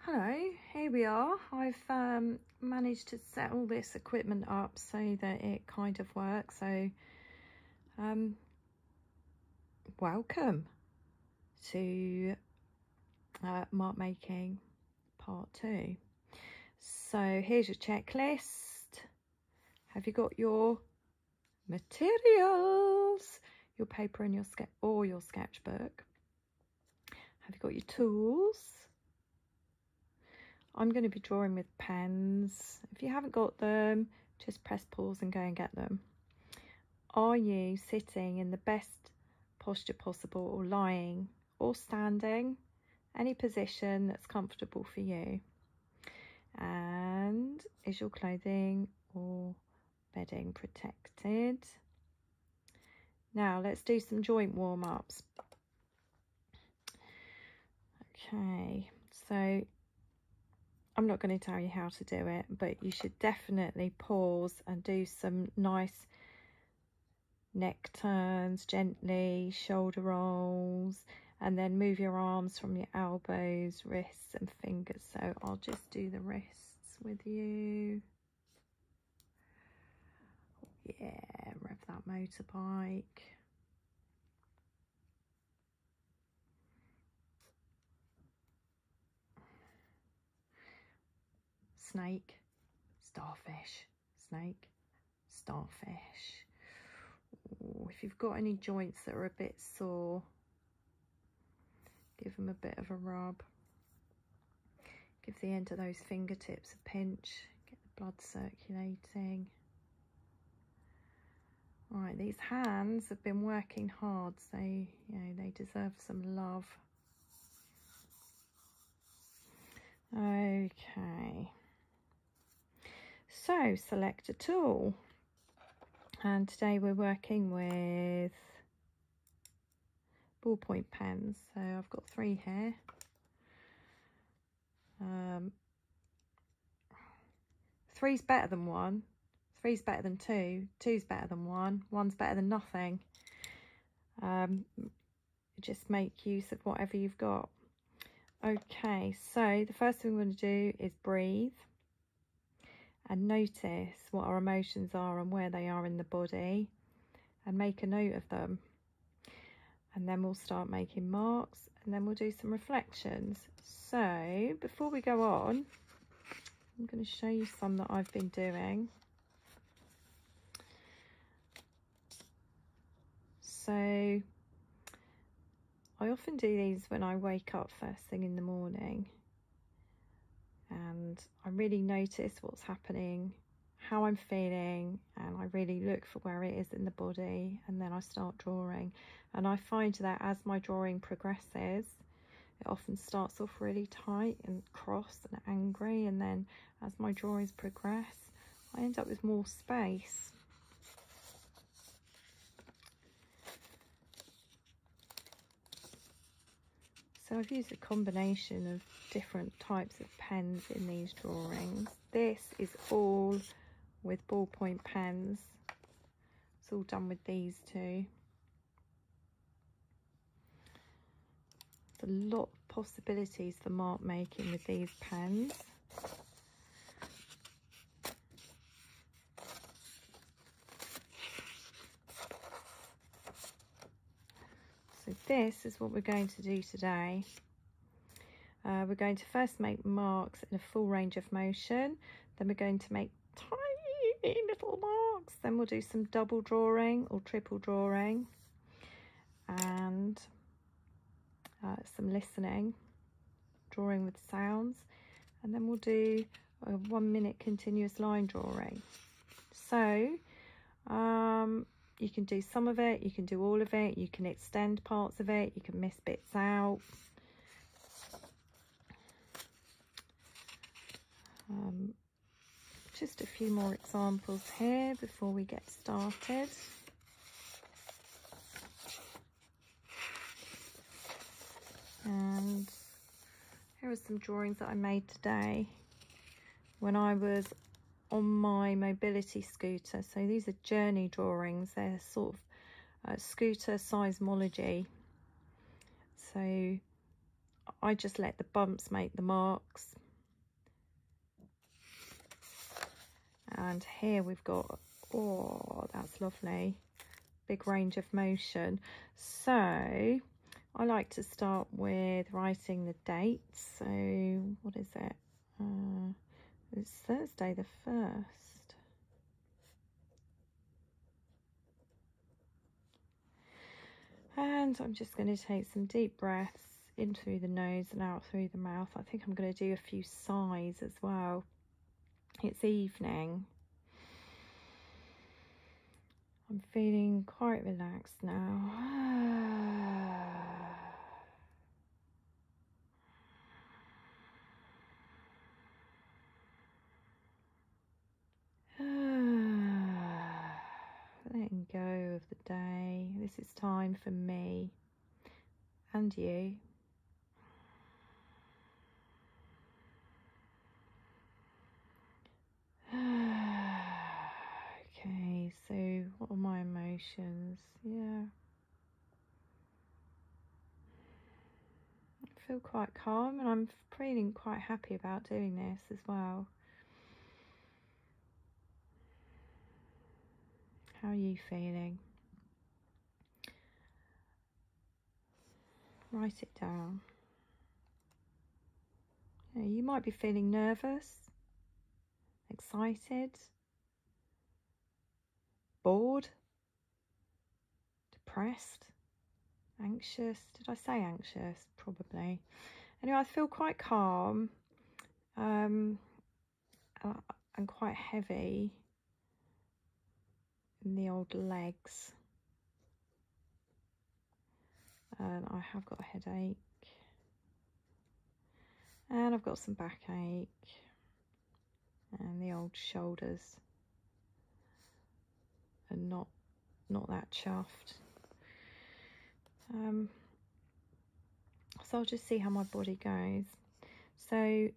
Hello, here we are. I've um, managed to set all this equipment up so that it kind of works. So, um, welcome to uh, mark making part two. So here's your checklist. Have you got your materials, your paper and your sketch or your sketchbook. Have you got your tools? I'm going to be drawing with pens. If you haven't got them, just press pause and go and get them. Are you sitting in the best posture possible or lying or standing? Any position that's comfortable for you. And is your clothing or bedding protected. Now let's do some joint warm-ups. Okay, so I'm not going to tell you how to do it, but you should definitely pause and do some nice neck turns gently, shoulder rolls, and then move your arms from your elbows, wrists, wrists and fingers. So I'll just do the wrists with you. Yeah, rev that motorbike. Snake, starfish, snake, starfish. if you've got any joints that are a bit sore, Give them a bit of a rub. Give the end of those fingertips a pinch. Get the blood circulating. All right, these hands have been working hard, so you know they deserve some love. Okay. So select a tool and today we're working with ballpoint pens so I've got three here um, three's better than one three's better than two two's better than one one's better than nothing um, just make use of whatever you've got okay so the first thing we're going to do is breathe and notice what our emotions are and where they are in the body and make a note of them. And then we'll start making marks and then we'll do some reflections. So before we go on, I'm going to show you some that I've been doing. So I often do these when I wake up first thing in the morning and I really notice what's happening, how I'm feeling, and I really look for where it is in the body, and then I start drawing. And I find that as my drawing progresses, it often starts off really tight and cross and angry, and then as my drawings progress, I end up with more space. So I've used a combination of different types of pens in these drawings. This is all with ballpoint pens. It's all done with these two. There's a lot of possibilities for mark making with these pens. So this is what we're going to do today. Uh, we're going to first make marks in a full range of motion. Then we're going to make tiny little marks. Then we'll do some double drawing or triple drawing and uh, some listening, drawing with sounds. And then we'll do a one minute continuous line drawing. So um, you can do some of it, you can do all of it, you can extend parts of it, you can miss bits out. Um, just a few more examples here before we get started. And here are some drawings that I made today when I was on my mobility scooter. So these are journey drawings. They're sort of uh, scooter seismology. So I just let the bumps make the marks. And here we've got, oh, that's lovely big range of motion. So I like to start with writing the dates. So what is it? Uh, it's Thursday the 1st. And I'm just going to take some deep breaths in through the nose and out through the mouth. I think I'm going to do a few sighs as well. It's evening. I'm feeling quite relaxed now. Letting go of the day. This is time for me and you okay, so what are my emotions? Yeah. I feel quite calm and I'm feeling quite happy about doing this as well. How are you feeling? Write it down. you might be feeling nervous, excited, bored, depressed, anxious. Did I say anxious? Probably. Anyway, I feel quite calm um, uh, and quite heavy the old legs and I have got a headache and I've got some backache and the old shoulders and not not that chuffed um, so I'll just see how my body goes so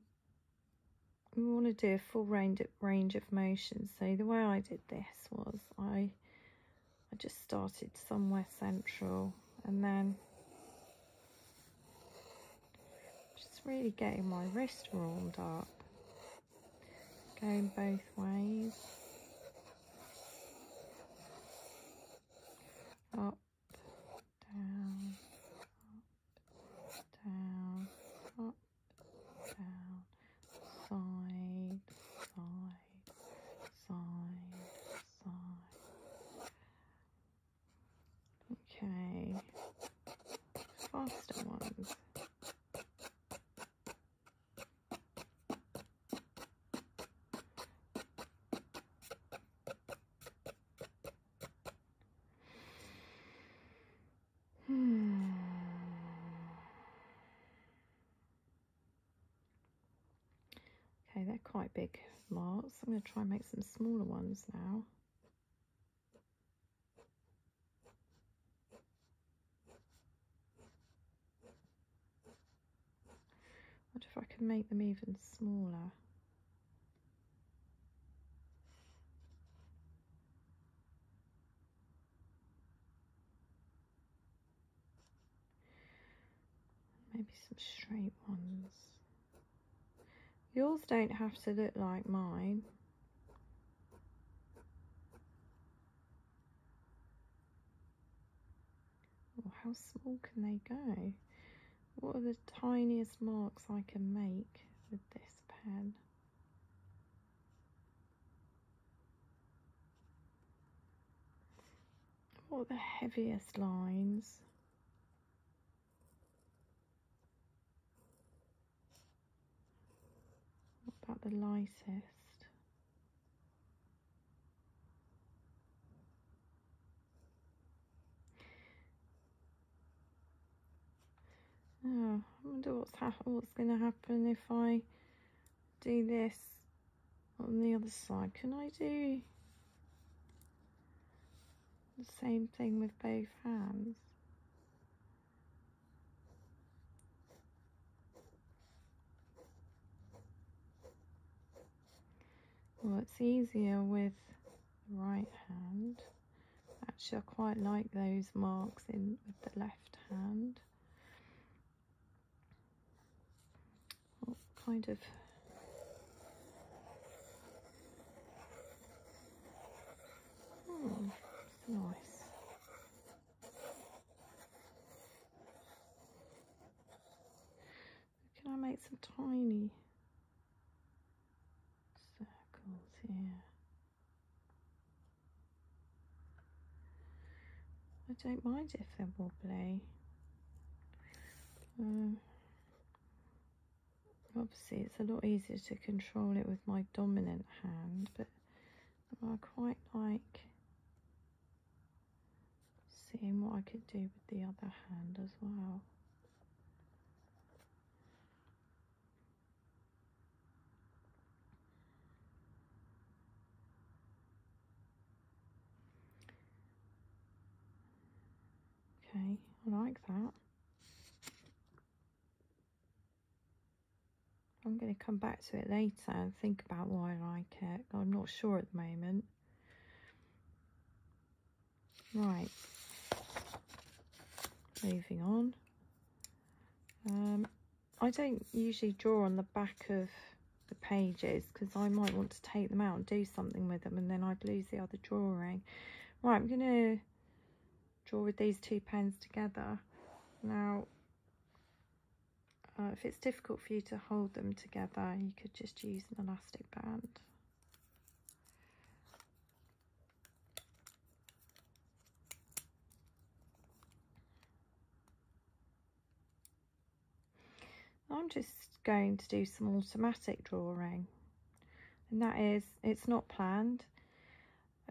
we want to do a full range of, range of motions. So the way I did this was I, I just started somewhere central and then just really getting my wrist warmed up. Going both ways. Up, down, down, up, down, side, side, side, side. Okay, faster ones. Hmm. okay, they're quite big marks. I'm going to try and make some smaller ones now. What if I can make them even smaller? Maybe some straight ones. Yours don't have to look like mine. how small can they go? What are the tiniest marks I can make with this pen? What are the heaviest lines? What about the lightest? Oh, I wonder what's what's going to happen if I do this on the other side. Can I do the same thing with both hands? Well, it's easier with the right hand. Actually, I quite like those marks in with the left hand. What kind of hmm, nice. Can I make some tiny circles here. I don't mind if they're wobbly. Um, obviously it's a lot easier to control it with my dominant hand, but I quite like seeing what I could do with the other hand as well. Okay, I like that. I'm going to come back to it later and think about why I like it. I'm not sure at the moment. Right. Moving on. Um, I don't usually draw on the back of the pages because I might want to take them out and do something with them and then I'd lose the other drawing. Right, I'm going to draw with these two pens together. Now, uh, if it's difficult for you to hold them together, you could just use an elastic band. I'm just going to do some automatic drawing and that is it's not planned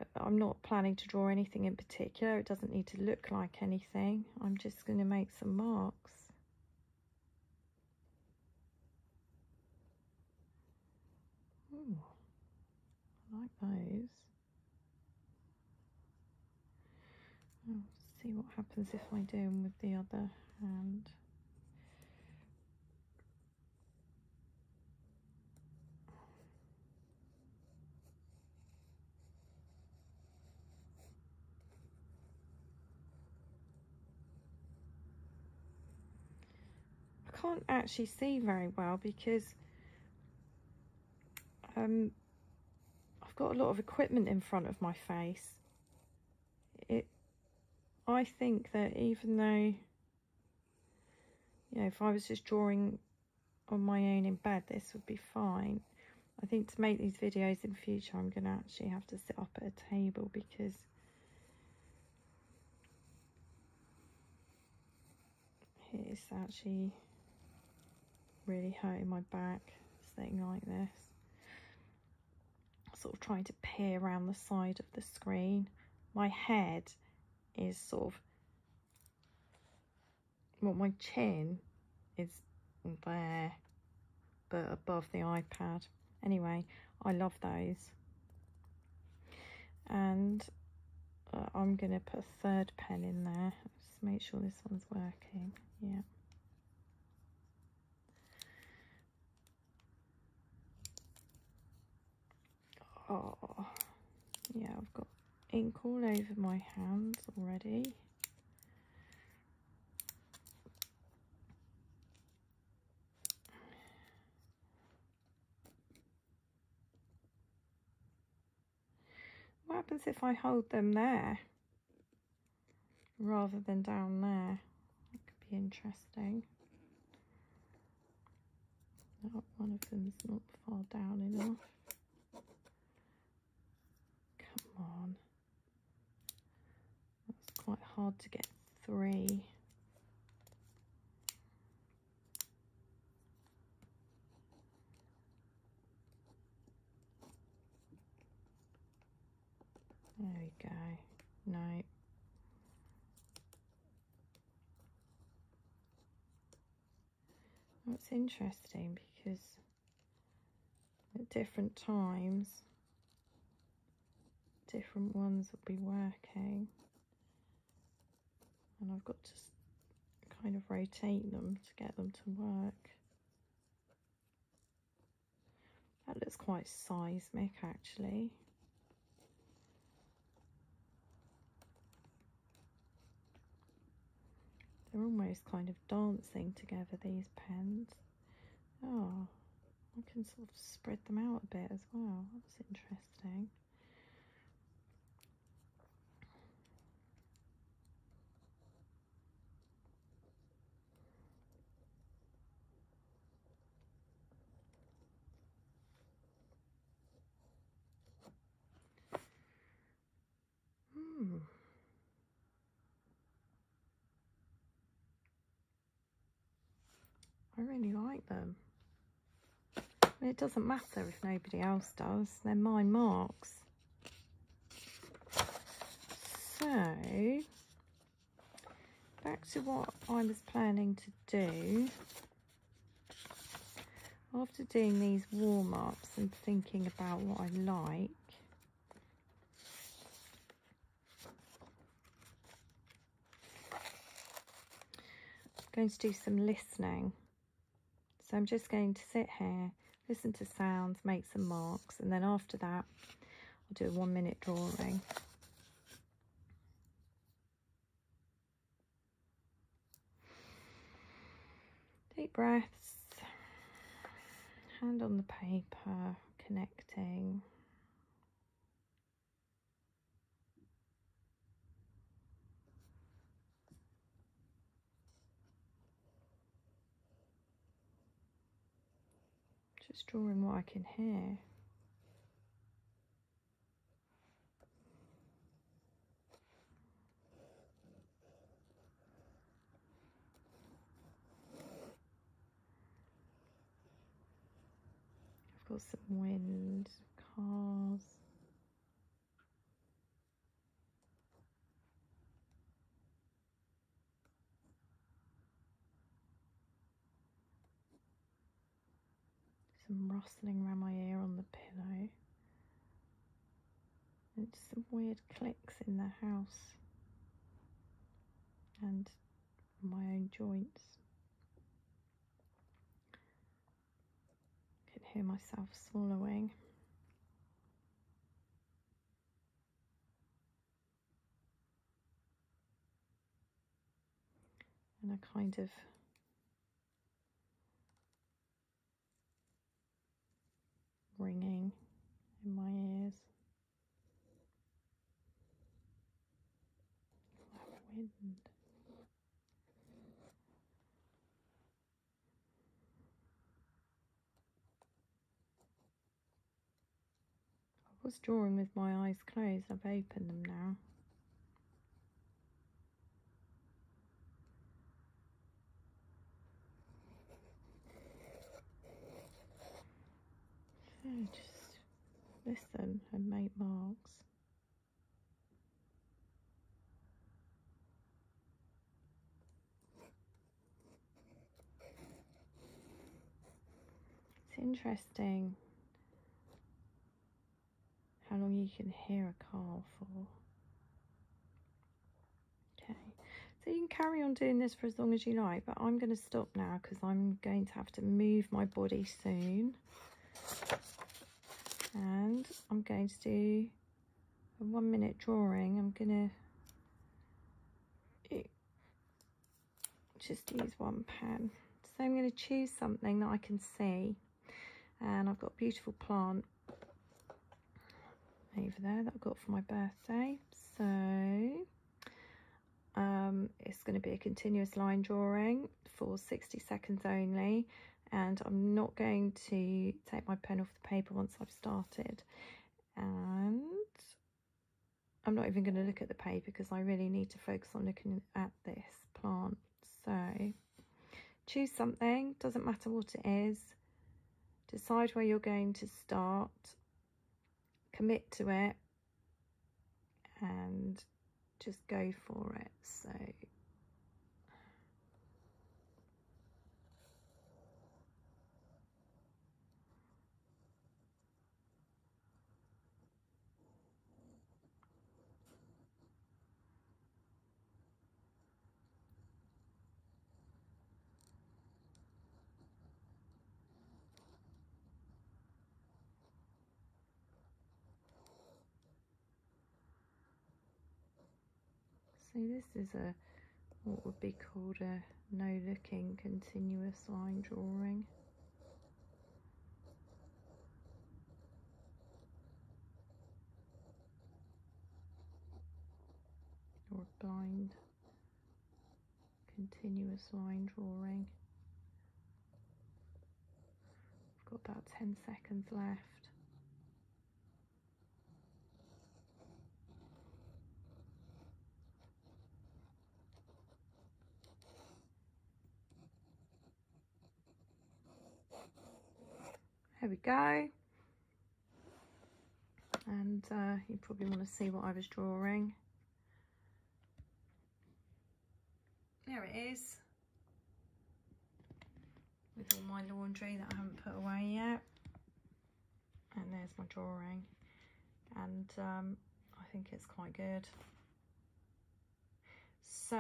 uh, I'm not planning to draw anything in particular it doesn't need to look like anything I'm just going to make some marks Hmm. I like those. see what happens if I do them with the other hand. I can't actually see very well because um, I've got a lot of equipment in front of my face. It, I think that even though, you know, if I was just drawing on my own in bed, this would be fine. I think to make these videos in future, I'm going to actually have to sit up at a table because it's actually really hurting my back, sitting like this. Sort of trying to peer around the side of the screen. My head is sort of, well, my chin is there, but above the iPad. Anyway, I love those. And uh, I'm going to put a third pen in there. Just make sure this one's working. Yeah. Oh, yeah, I've got ink all over my hands already. What happens if I hold them there rather than down there? That could be interesting. One of them is not far down enough. Come on. That's quite hard to get three. There we go. No. That's interesting because at different times, different ones will be working and I've got to kind of rotate them to get them to work. That looks quite seismic actually. They're almost kind of dancing together, these pens. Oh, I can sort of spread them out a bit as well. That's interesting. Hmm. I really like them. it doesn't matter if nobody else does, they're my marks. So, back to what I was planning to do. After doing these warm-ups and thinking about what I like, I'm going to do some listening. So I'm just going to sit here, listen to sounds, make some marks, and then after that, I'll do a one minute drawing. Deep breaths, hand on the paper, connecting, just drawing what I can hear. I've got some wind, cars. Some rustling around my ear on the pillow. And some weird clicks in the house and my own joints. I can hear myself swallowing. And a kind of ringing in my ears wind. I was drawing with my eyes closed, I've opened them now. So just Listen than and make marks. It's interesting how long you can hear a car for. Okay, so you can carry on doing this for as long as you like, but I'm going to stop now because I'm going to have to move my body soon and I'm going to do a one minute drawing I'm gonna just use one pen so I'm going to choose something that I can see and I've got a beautiful plant over there that I got for my birthday so um, it's going to be a continuous line drawing for 60 seconds only and I'm not going to take my pen off the paper once I've started and I'm not even going to look at the paper because I really need to focus on looking at this plant so choose something doesn't matter what it is decide where you're going to start commit to it and just go for it. So so this is a what would be called a no looking continuous line drawing. Or blind continuous line drawing. I've got about 10 seconds left. There we go. And uh, you probably want to see what I was drawing. There it is. With all my laundry that I haven't put away yet. And there's my drawing. And um, I think it's quite good. So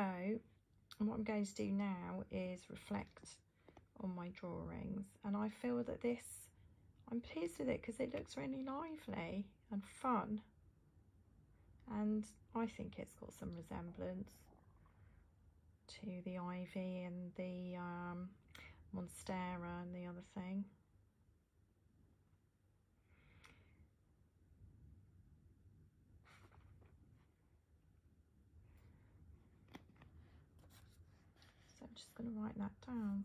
what I'm going to do now is reflect on my drawings. And I feel that this, I'm pleased with it because it looks really lively and fun. And I think it's got some resemblance to the ivy and the um, monstera and the other thing. So I'm just going to write that down.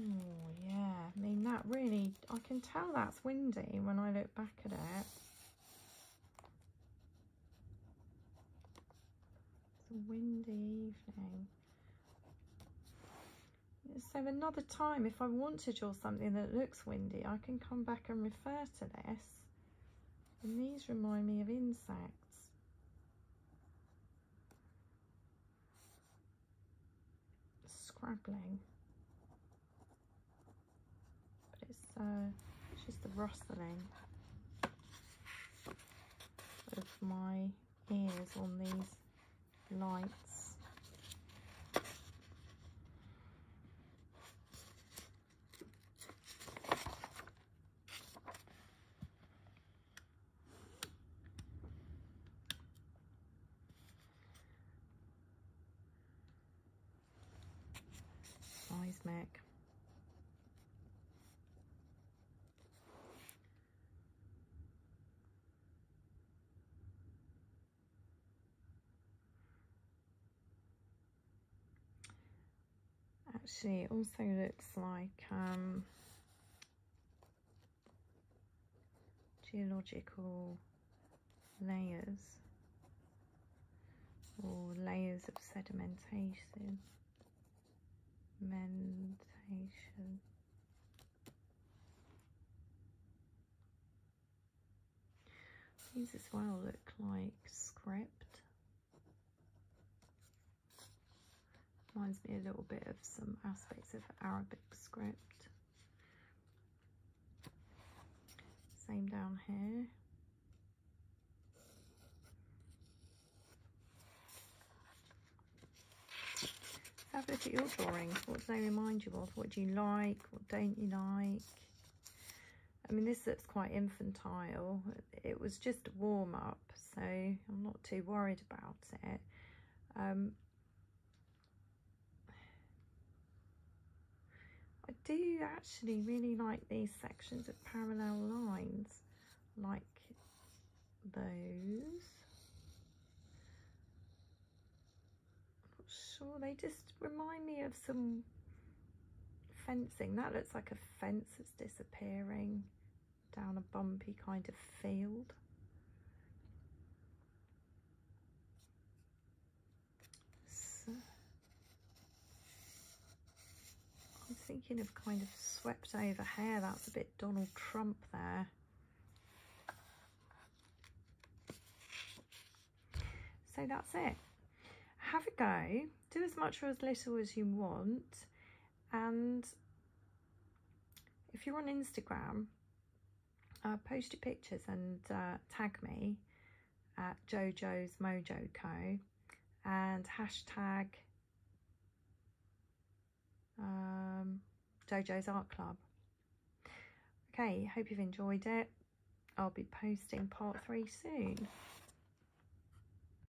Oh, yeah. I mean, that really, I can tell that's windy when I look back at it. It's a windy evening. So another time, if I want to draw something that looks windy, I can come back and refer to this. And these remind me of insects scraggling. But it's, uh, it's just the rustling of my ears on these lights. Nice Mac. Actually, it also looks like um, geological layers or layers of sedimentation. Mentation. this one well look like script Reminds me a little bit of some aspects of Arabic script. Same down here. Have a look at your drawing. What does they remind you of? What do you like? What don't you like? I mean, this looks quite infantile. It was just a warm-up so I'm not too worried about it um, I do actually really like these sections of parallel lines like those Not sure they just remind me of some fencing that looks like a fence that's disappearing down a bumpy kind of field. I'm thinking of kind of swept over hair. That's a bit Donald Trump there. So that's it. Have a go. Do as much or as little as you want. And if you're on Instagram, uh, post your pictures and uh, tag me at Jojo's Mojo Co. and hashtag um, Jojo's Art Club. Okay, hope you've enjoyed it. I'll be posting part three soon.